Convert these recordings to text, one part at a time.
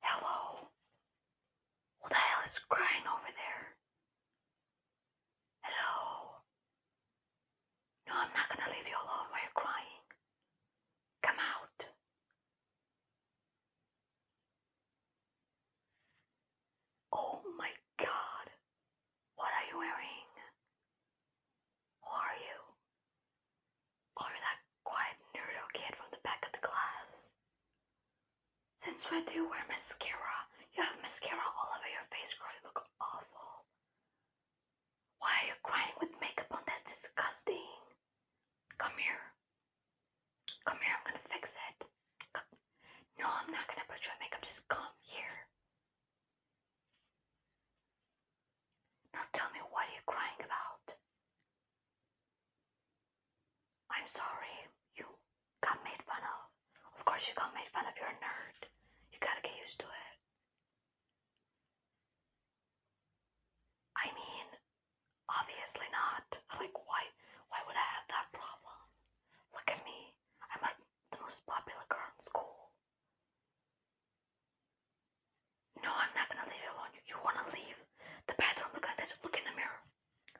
Hello? Who the hell is crying over there? Hello? No, I'm not gonna leave you alone while you're crying. Come out. Oh my god. What are you wearing? are you? Or that quiet nerdo kid from the back of the class? Since when do you wear mascara? You have mascara all over your face, You look awful. Why are you crying with makeup on? That's disgusting. Come here. Come here, I'm gonna fix it. No, I'm not gonna put you in makeup. Just come here. Now tell me what are you crying about? I'm sorry, you got made fun of. Of course you got made fun of, you're a nerd. You gotta get used to it. I mean, obviously not. Like why why would I have that problem? Look at me. I'm like the most popular girl in school. No, I'm not gonna leave you alone. You, wanna leave the bathroom? Look at this. Look in the mirror.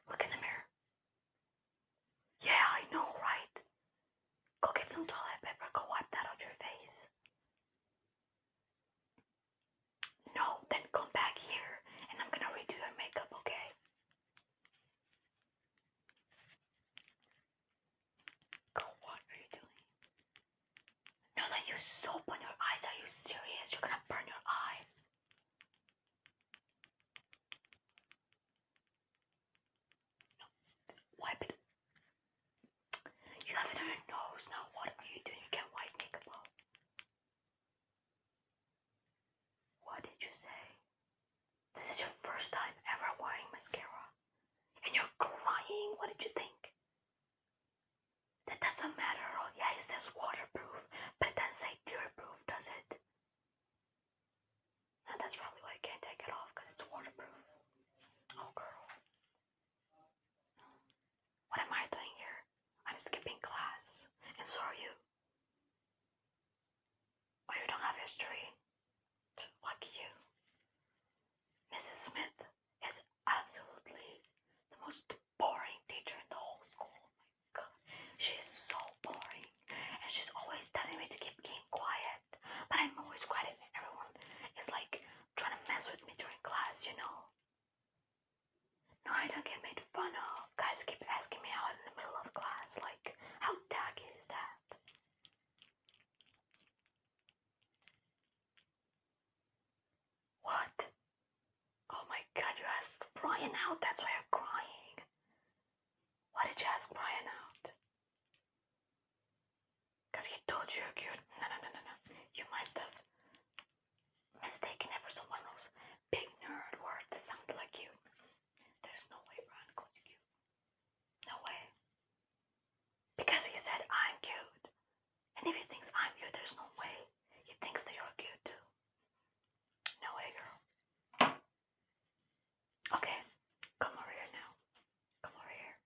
Look in the mirror. Yeah, I know, right? Go get some toilet paper. Go wipe that off your face. No, then come back here and I'm gonna redo your makeup, okay? what are you doing? No, that you soap on your eyes. Are you serious? You're gonna burn your eyes. wipe it. You have it on your nose now. What are you doing? You can't wipe makeup off. What did you say? This is your first time ever wearing mascara. And you're crying? What did you think? That doesn't matter at all. Yeah, it says waterproof, but it doesn't say tear-proof, does it? And that's probably why I can't take it off, because it's waterproof. Oh, girl. What am I doing here? I'm skipping class, and so are you. Well, you don't have history. Lucky you. Mrs. Smith is absolutely the most boring teacher in the whole school. Oh my god. She is so boring. And she's always telling me to keep being quiet. But I'm always quiet and everyone is like trying to mess with me during class, you know? No, I don't get me fun of. Guys keep asking me out in the middle of class, like, how tacky is that? What? Oh my god, you asked Brian out, that's why you're crying. Why did you ask Brian out? Because he told you you're cute. No, no, no, no, no. You must have mistaken him for someone else. Big nerd words that sound like you. There's no way Brian called you No way. Because he said I'm cute. And if he thinks I'm cute, there's no way. He thinks that you're cute too. No way, girl. Okay, come over here now. Come over here.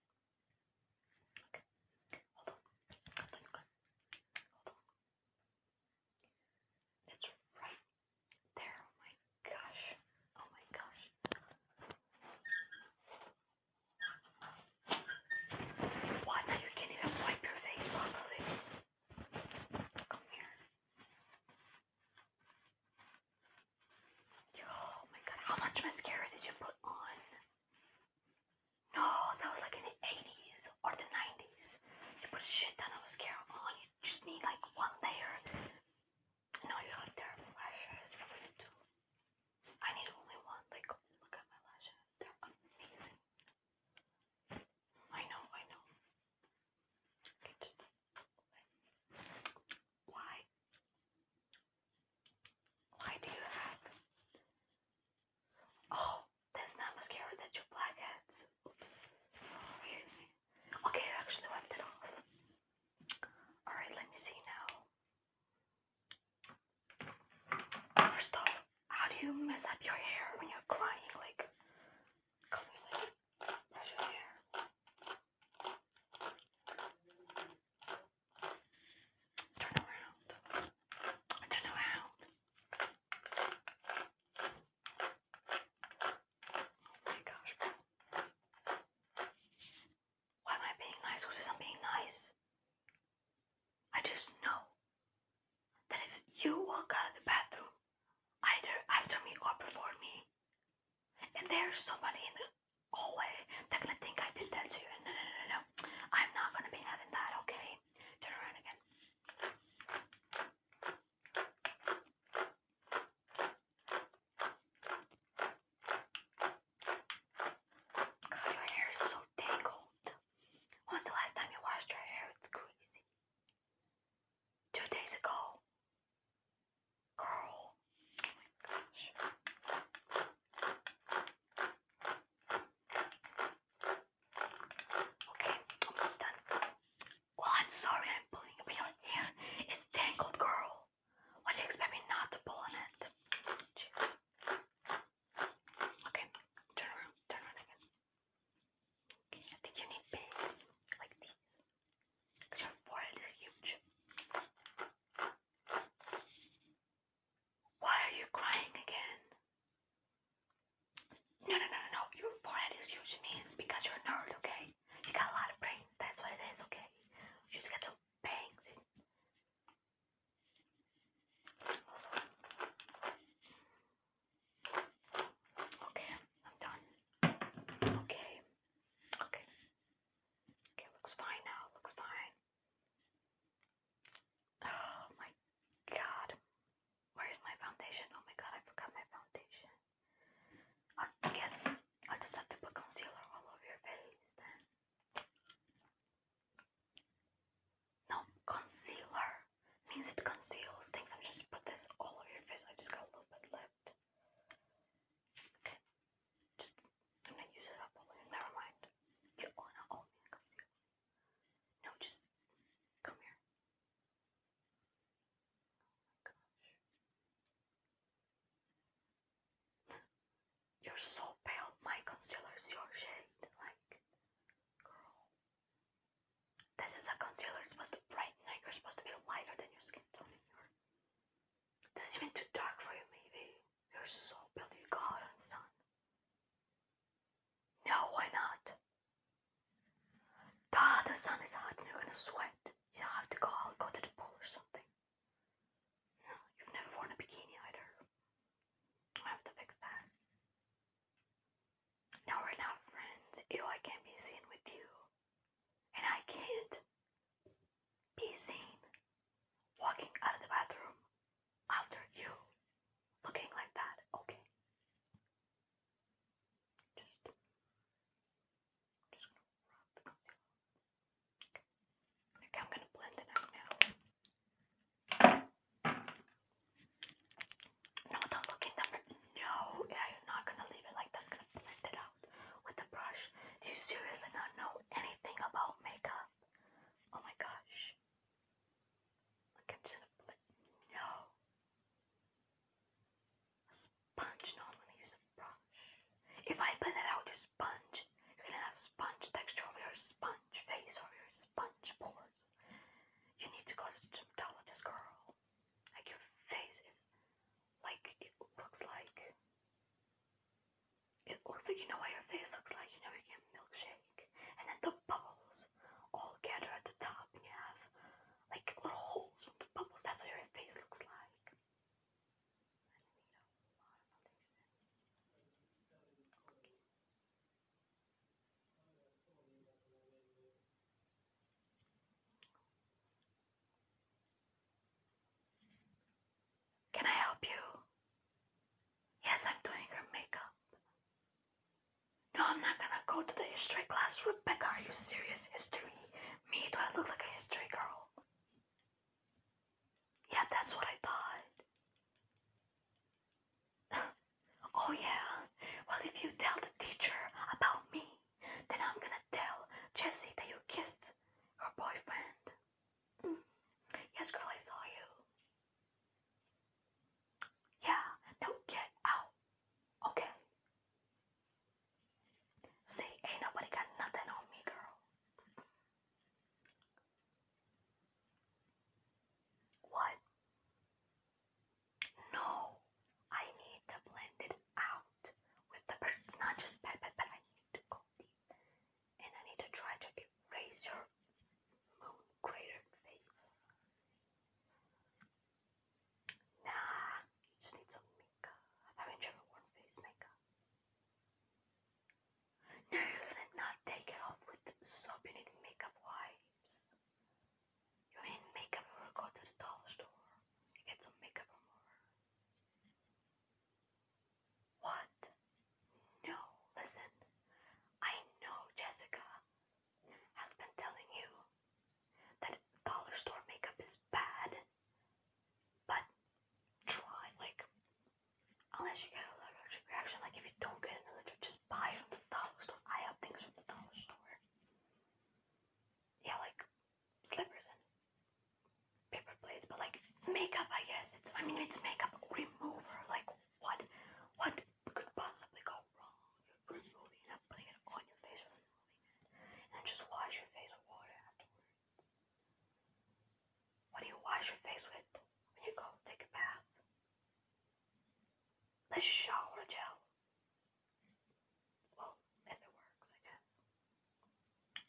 Okay. Hold on. Hold on. Hold on. It's right there. Oh my gosh. Oh my gosh. What? You can't even wipe your face properly. Come here. Oh my god, how much mascara did you put on? No, that was like in the 80s or the 90s. You put shit ton of mascara on just need like one layer. No, you have terrible lashes. I need only one. Like, look at my lashes. They're amazing. I know, I know. why? Why do you have? Oh, that's not mascara. That's your blackheads. Oops. Okay, I actually wiped it off. Alright, let me see now. First off, how do you mess up your hair when you're crying? Like, come here, like, brush your hair. Turn Oh my gosh. Why am I being nice? Who says I'm being nice? I just know that if you walk out of the bathroom, either after me or before me, and there's somebody in the hallway, they're gonna think I did that to you. No, no, no, no, no. I'm not gonna be having that, okay? Turn around again your hair is so tangled. When's the last time you washed your hair? It's crazy. Two days ago. Girl. Oh okay, almost done. Well, I'm sorry I'm pulling a real hair. It's tangled, girl. What do you expect me not to pull on it? Okay, turn around, turn around again. Okay, I think you need bands like these. Because your forehead is huge. Why are you crying again? No, no, no, no, your forehead is huge means because you're a nerd, okay? You got a lot of brains, that's what it is, okay? You just got some bangs. Okay, I'm done. Okay, okay. Okay, looks fine now, looks fine. Oh my god. Where's my foundation? Oh my god, I forgot my foundation. I, guess I'll just have to put concealer all over your face then. No, concealer means it conceals things. I'm just put this all over your face. I just got a little bit left. Okay, just I'm gonna use it up. Never mind. You all all me concealer. No, just come here. Oh you're so pale. My concealer's your shade. Like, girl. This is a concealer. It's supposed to brighten. Like, you're supposed to be lighter than your skin tone. This is even too dark for you, maybe. You're so pale. You got out in sun. No, why not? Ah, the sun is hot and you're gonna sweat. You'll have to go out, and go to the pool or something. No, you've never worn a bikini either. I have to fix that. No, we're not friends. Ew, I can't be seen with you. And I can't be seen walking out of the bathroom after you looking like that. Okay. I'm just going to Okay, I'm going to blend it out now. not look in that. No, I'm not going to leave it like that. I'm going to blend it out with the brush. Do you seriously not know anything about makeup? Oh my gosh. I'm just going No. A sponge? not when i use a brush. If I put it out with a sponge, you're gonna have sponge texture over your sponge face or your sponge pores. You need to go to the dermatologist, girl. Like your face is like it looks like. It looks like you know what your face looks like. You know you get milkshake, and then the bubbles all gathered at the top, and you have like little holes from the bubbles. That's what your face looks like. Can I help you? Yes, I'm doing her makeup. No, I'm not gonna go to the history class. Rebecca, are you serious? History? Me? Do I look like a history girl? Yeah, that's what I thought. oh, yeah. Well, if you tell the teacher about me, then I'm gonna tell Jessie that you kissed her boyfriend. Mm. Yes, girl, I saw you. Yeah, now get out. Okay, See, ain't nobody got nothing on me, girl. What? No, I need to blend it out with the It's not just bad, bad, bad. I need to go deep. And I need to try to erase your moon cratered face. Nah, you just need some makeup. Haven't you ever face makeup? No, you're gonna not take it off with soap. You need makeup wipes. You need makeup or go to the dollar store and get some makeup remover. What? No, listen. I know Jessica has been telling you that dollar store makeup is bad, but try. Like, unless you get an allergic reaction, like if you don't get an allergic, just buy from the dollar store. I have things from the dollar store. Yeah, like slippers and paper plates, but like makeup, I guess. It's, I mean, it's makeup remover. Like, what, what could possibly go wrong? and it on your face And then just wash your face with water afterwards. What do you wash your face with when you go take a bath? The shower gel. Well, it works, I guess.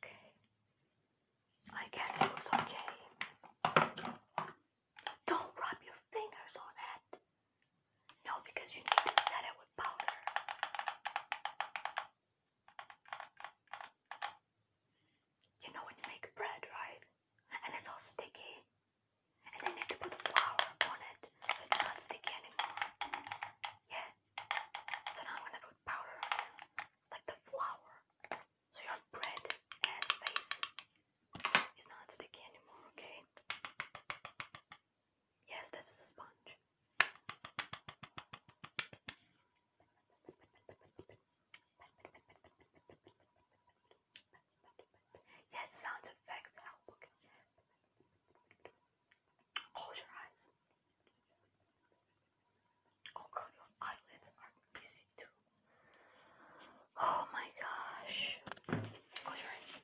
Okay. I guess it looks okay. Don't rub your fingers on it. No, because you need to set it with powder. You know when you make bread, right? And it's all sticky. And then you need to put flour on it so it's not sticky anymore. Yeah. So now I'm gonna put powder Like the flour. So your bread ass face is not sticky anymore, okay? Yes, this is a sponge. Yes, sound effects help. Close your eyes. Oh god, your eyelids are busy too. Oh my gosh. Close your eyes.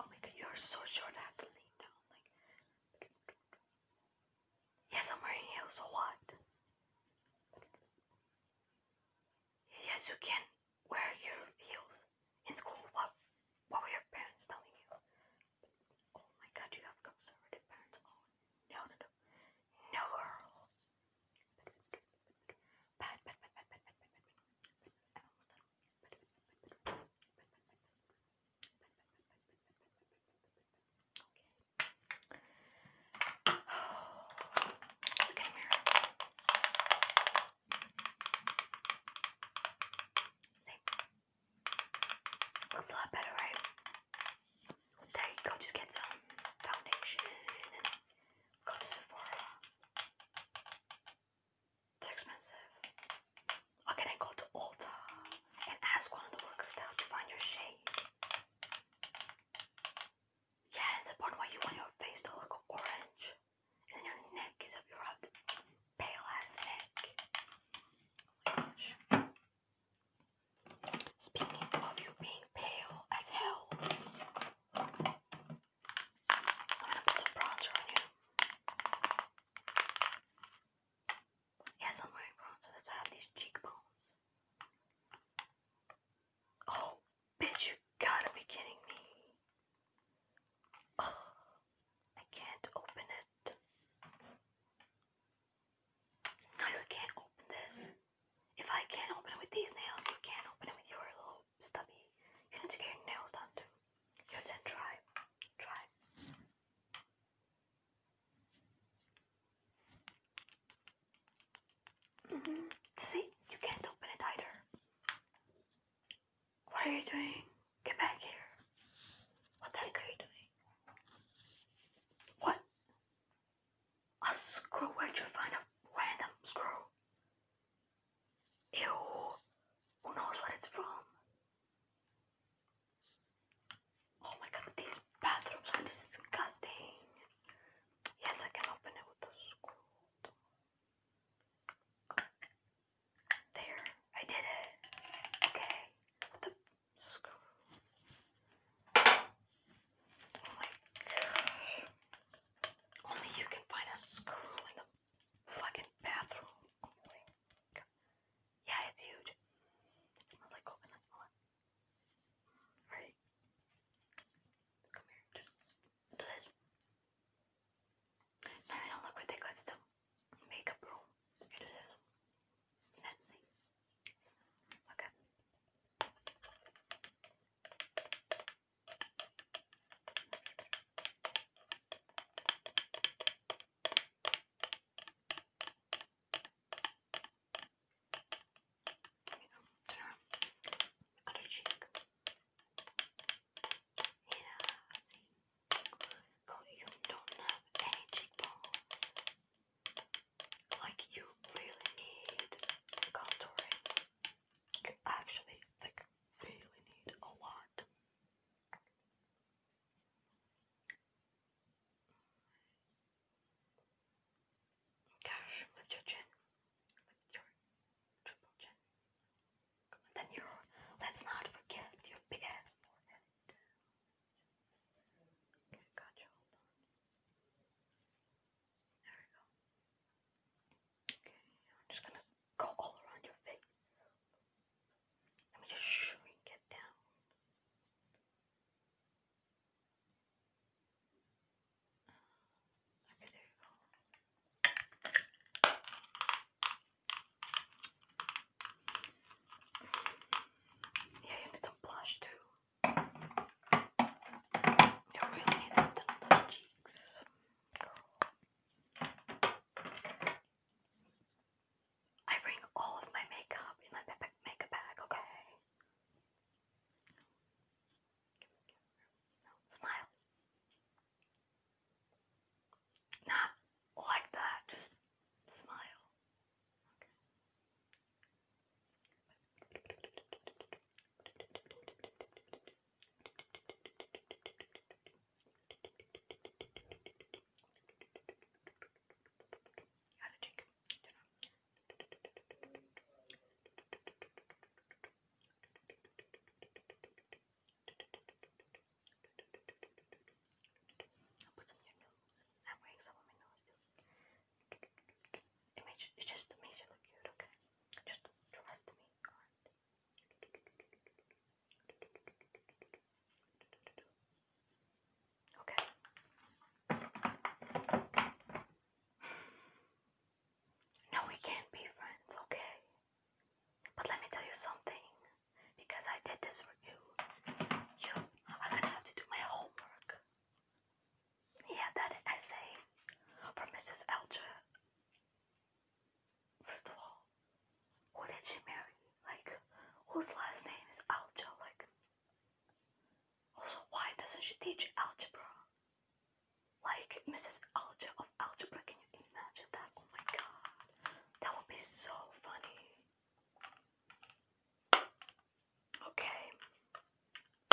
Oh my god, you're so short, I have to lean down. Like, yes, I'm wearing heels, so what? Yes, you can wear your heels in school. What? What were your parents telling you? Oh my god, you have conservative parents. Oh, no, no, no, no, girl. Look at a mirror. See? Looks a lot better, right? There you go, just get some foundation go to Sephora. It's expensive. Or can I go to Ulta and ask one of the workers to find your shade? Yeah, it's important why you want your face to look orange. And your neck is up your pale ass neck. Oh Speaking of you being pale as hell, I'm gonna put some bronzer on you. Yes, I'm wearing bronzer. That's why I have these cheekbones. Oh, bitch, you gotta be kidding me. I can't open it. No, you can't open this. If I can't open it with these nails, you can't open it with your little stubby. You need to get your nails done too. Here then try. Try. Mm-hmm. See, you can't open it either. What are you doing? Get back here. What the heck are you doing? What? A screw? Where'd you find a random screw? Ew, who knows where it's from? Oh my god, these bathrooms are disgusting. Yes, I can open it with a screw. There, I did it. Okay, with the screw. Oh my gosh. Only you can find a screw in the fucking bathroom. yeah, it's huge. smells like coconut smell. Right? Come here. do this. No, I don't look It's a makeup room. You Okay. Other cheek. Yeah, I see. Oh, you don't have any cheekbones. Like you really need contouring you actually like really need a lot. Gosh, your chin. your triple chin. Then your let's not forget your big ass forehead. Okay, gotcha, hold There we go. I'm just gonna go all around your face. Let me just shrink it down. Okay, there you go. Yeah, you need some blush too. You really need something on those cheeks. I bring all of my makeup in my makeup bag, okay? Smile. Not like that, just smile. How I'll put some in your nose. I'm wearing some on my nose It, makes, it just makes you look good, okay? Just trust me, alright? Okay. No, we can't be friends, okay? But let me tell you something. Because I did this for you, you are gonna have to do my homework. Yeah, that essay from Mrs. Elcher. First of all, who did she marry? Like, whose last name is Alja? Like, also, why doesn't she teach algebra? Like, Mrs. Alja of algebra, can you imagine that? Oh my god, that would be so funny. Okay,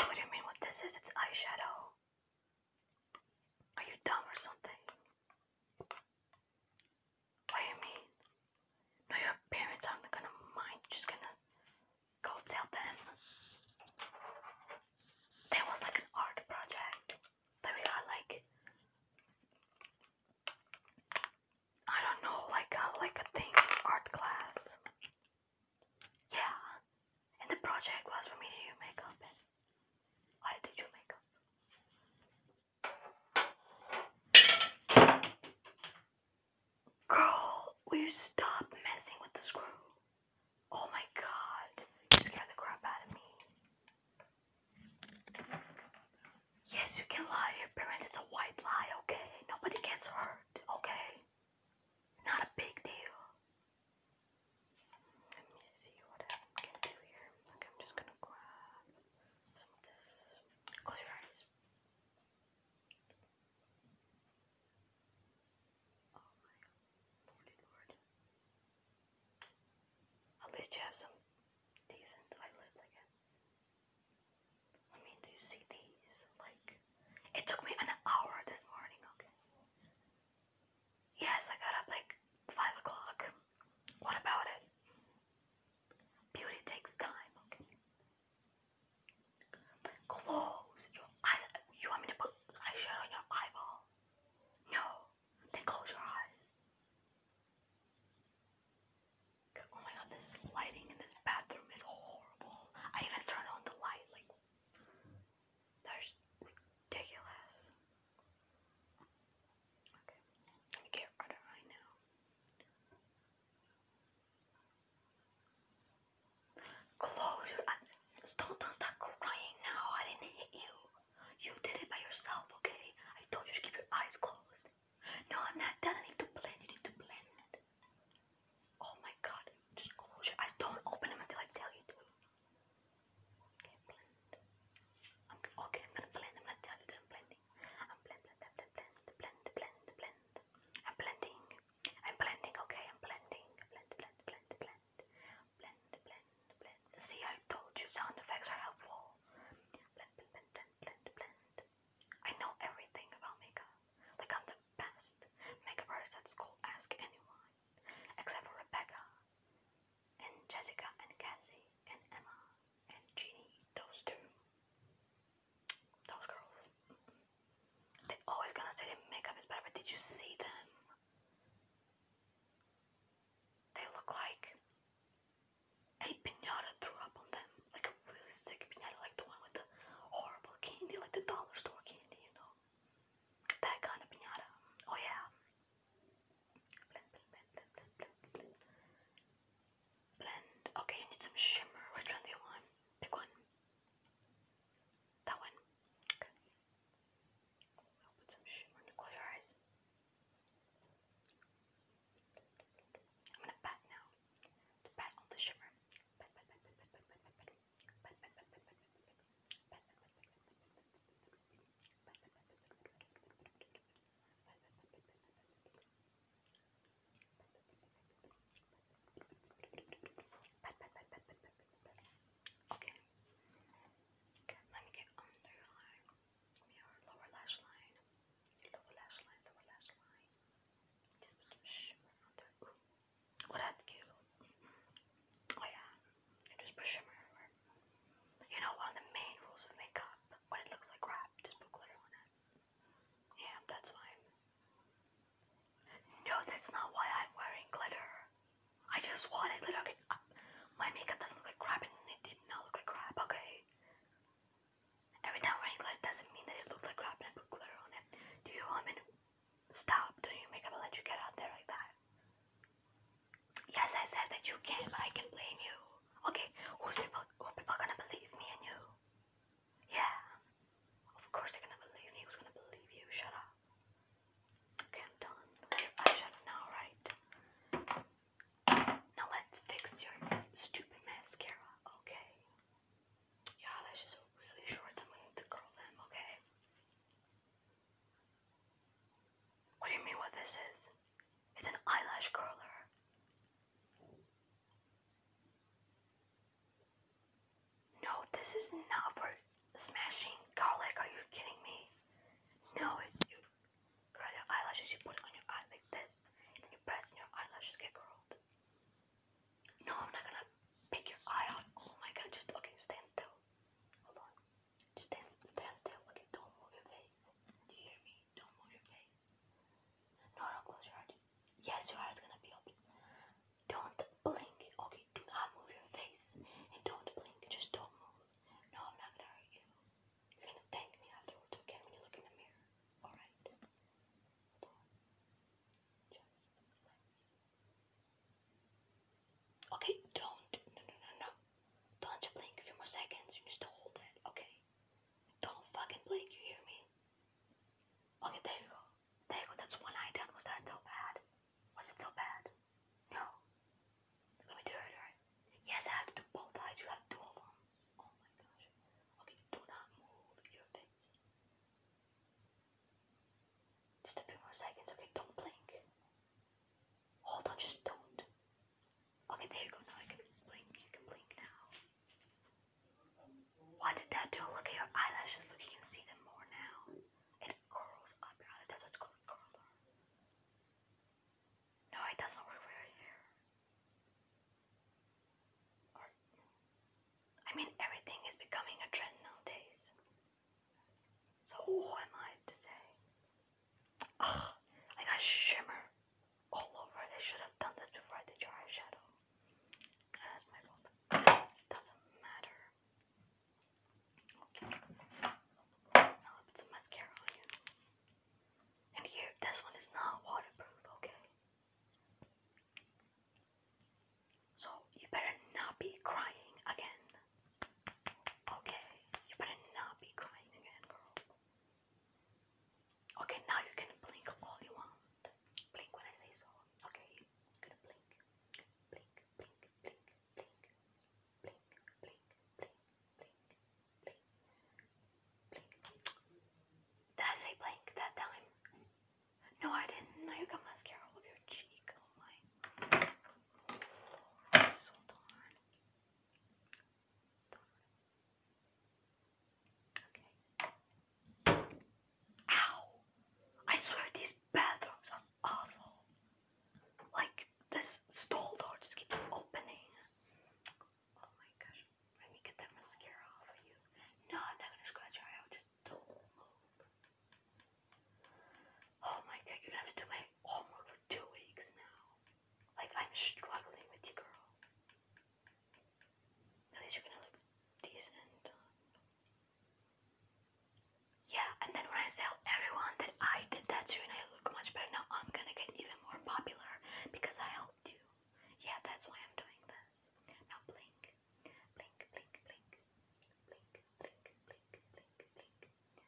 what do you mean what this is? It's eyeshadow. Are you dumb or something? What do you mean? No, your parents aren't gonna mind. just gonna go tell them. That was like an art project that we got like I don't know, like a like a thing art class. Yeah and the project was for me to do makeup and I did your makeup. Girl, will you stop messing with the screw? Oh my god, you scared the crap out of me. Yes, you can lie your parents, it's a white lie, okay? Nobody gets hurt, okay? Not a big deal. Let me see what I can do here. Okay, I'm just gonna grab some of this. Close your eyes. Oh my lordy lord. At least you have some decent eyelids, I guess. I mean, do you see these? Like, it took me an hour this morning, okay? Yes, I got up like 5 o'clock. What about it? Beauty takes time, okay? Close your eyes. You want me to put eyeshadow on your eyeball? No. Then close your eyes. Oh my god, this lighting in this bathroom is horrible. I even turned on the light, like, that's ridiculous. Okay, let me get rid of it right now. Close your eyes. Don't, don't stop crying now. I didn't hit you. You did it by yourself, okay? I told you to keep your eyes closed. No, I'm not done. I need to blend. You need to blend. Oh my god. Just close your eyes. Don't open them until I tell you to. Okay, blend. I'm, okay, I'm gonna blend. I'm gonna tell you that I'm blending. I'm blend, blend, blend, blend, blend, blend, blend. I'm blending. I'm blending. Okay, I'm blending. Blend, blend, blend, blend, blend, blend, blend. See, I told you, sound effects are helpful. Blend, blend, blend, blend, blend, blend. I know everything about makeup. Like I'm the best makeup artist at school. Ask anyone, except for Rebecca and Jessica and Cassie and Emma and Jeannie, those two, those girls. they always gonna say their makeup is better, but did you see them? They look like a pinata threw up on them, like a really sick pinata, like the one with the horrible candy, like the dollar store candy, you know? That kind of pinata. Oh yeah, Blend, Okay, you need some shimmer. Which one do you want? Pick one. That one. Okay. I'll put some shimmer. Close your eyes. I'm gonna pat now. pat on the shimmer. Pat, Okay. Okay, let me get under your line. Your lower lash line. Your lower lash line, lower lash line. Just put some shimmer on there. Ooh. Oh, that's cute. Mm -hmm. Oh yeah, and just put shimmer over. You know, one of the main rules of makeup, when it looks like crap, just put glitter on it. Yeah, that's why. No, that's not why I'm wearing glitter. I just wanted glitter. Okay, uh, my makeup doesn't look like crap, and it did not look like crap. Okay. Every time I'm glitter doesn't mean that it looked like crap, and I put glitter on it. Do you want um, stop doing makeup and let you get out there like that? Yes, I said that you can, but I can blame you. Okay, who's people? Who people gonna believe me and you? Yeah, of course they're gonna believe me. Was gonna believe you? Shut up. Okay, I'm done. I shut now, right? Now let's fix your stupid mascara, okay? Your eyelashes are really short, I'm going to curl them, okay? What do you mean what this is? It's an eyelash curler. No, this is not for smashing garlic. Are you kidding me? No, it's you curl your eyelashes, you put it on your eye like this, and you press and your eyelashes get curled. No, I'm not gonna pick your eye out. Oh my god, just okay, stand still. Hold on. Just stand, stand still. Okay, don't move your face. Do you hear me? Don't move your face. No, don't close your eyes. Yes, your eyes gonna be open. Don't blink. Okay, do not move your face and don't blink. Just don't move. No, I'm not gonna hurt you. You're gonna thank me afterwards. Okay, when you look in the mirror. All right. Okay, don't. No, no, no, no. Don't you blink a few more seconds. You just hold it, okay? Don't fucking blink, you hear me? Okay, there you go. There you go. That's one eye down. Was that so bad? Was it so bad? No. Let me do it, alright? Yes, I have to do both eyes. You have to do them. Oh my gosh. Okay, do not move your face. Just a few more seconds, okay, don't blink. Hold on, just don't. Okay, there you go, now I can blink, you can blink now. What did that do? Look at your eyelashes, look, you can see them more now. It curls up your eyelash, that's what's called curler. No, it doesn't work for your hair. I mean, everything is becoming a trend nowadays. So oh, I to say. Ah, I got shimmer all over. I should have done this before I did your eyeshadow. Ah, that's my fault. Doesn't matter. Okay. Now I'll mascara And here, this one is not waterproof, okay? So you better not be crying again. Okay, you better not be crying again, girl. Okay, now you can blink all you want. Blink when I say so. Okay, you gonna blink. Blink, blink, blink, blink, blink, blink, blink, blink, blink, blink. Did I say blink that time? No, I didn't. Now you got mascara all over your cheek. Ow! I swear these bathrooms are awful. Like, this stall door just keeps opening. Oh my gosh. Let me get that mascara off of you. No, I'm not gonna scratch your eye out. Just move. Oh my god, you're gonna have to do my homework for two weeks now. Like, I'm struggling with you, girl. At least you're gonna look decent. Yeah, and then when I tell everyone that I did that to and I look much better now, I'm gonna get even more popular because I helped you. Yeah, that's why I'm doing this. Now blink, blink, blink, blink, blink, blink, blink, blink, blink.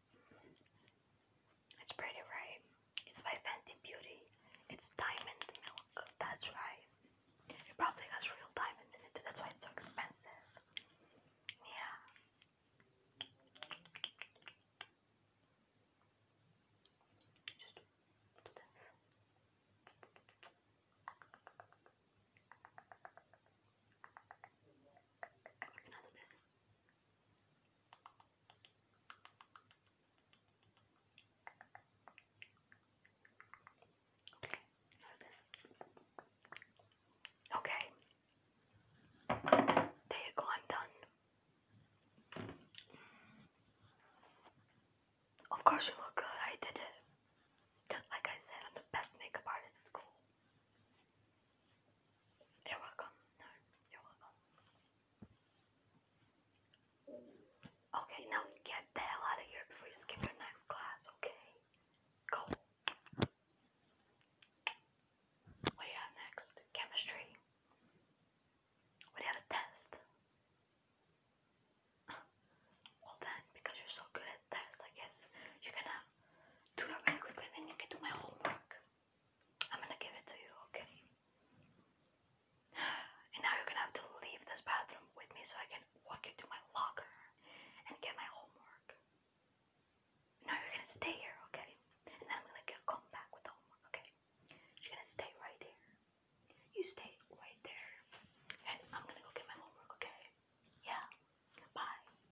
It's pretty, right? It's by Fenty Beauty. It's diamond milk. That's right. It probably has real diamonds in it. That's why it's so expensive. Yeah. Okay, There you go, I'm done. Of course you look good, I did it. Like I said, I'm the best makeup artist in school. You're welcome. No, you're welcome. Okay, now get the hell out of here before you skip your next class, okay? Go. What do you have next? Chemistry. What do you have a test? Well then, because you're so good at tests, I guess you can have do it really quickly, then you can do my homework. I'm gonna give it to you, okay? And now you're gonna have to leave this bathroom with me so I can walk you to my locker and get my homework. No, you're gonna stay here, okay? And I'm gonna get, back with homework, okay? You're gonna stay right here. You stay right there. And I'm gonna go get my homework, okay? Yeah. Bye.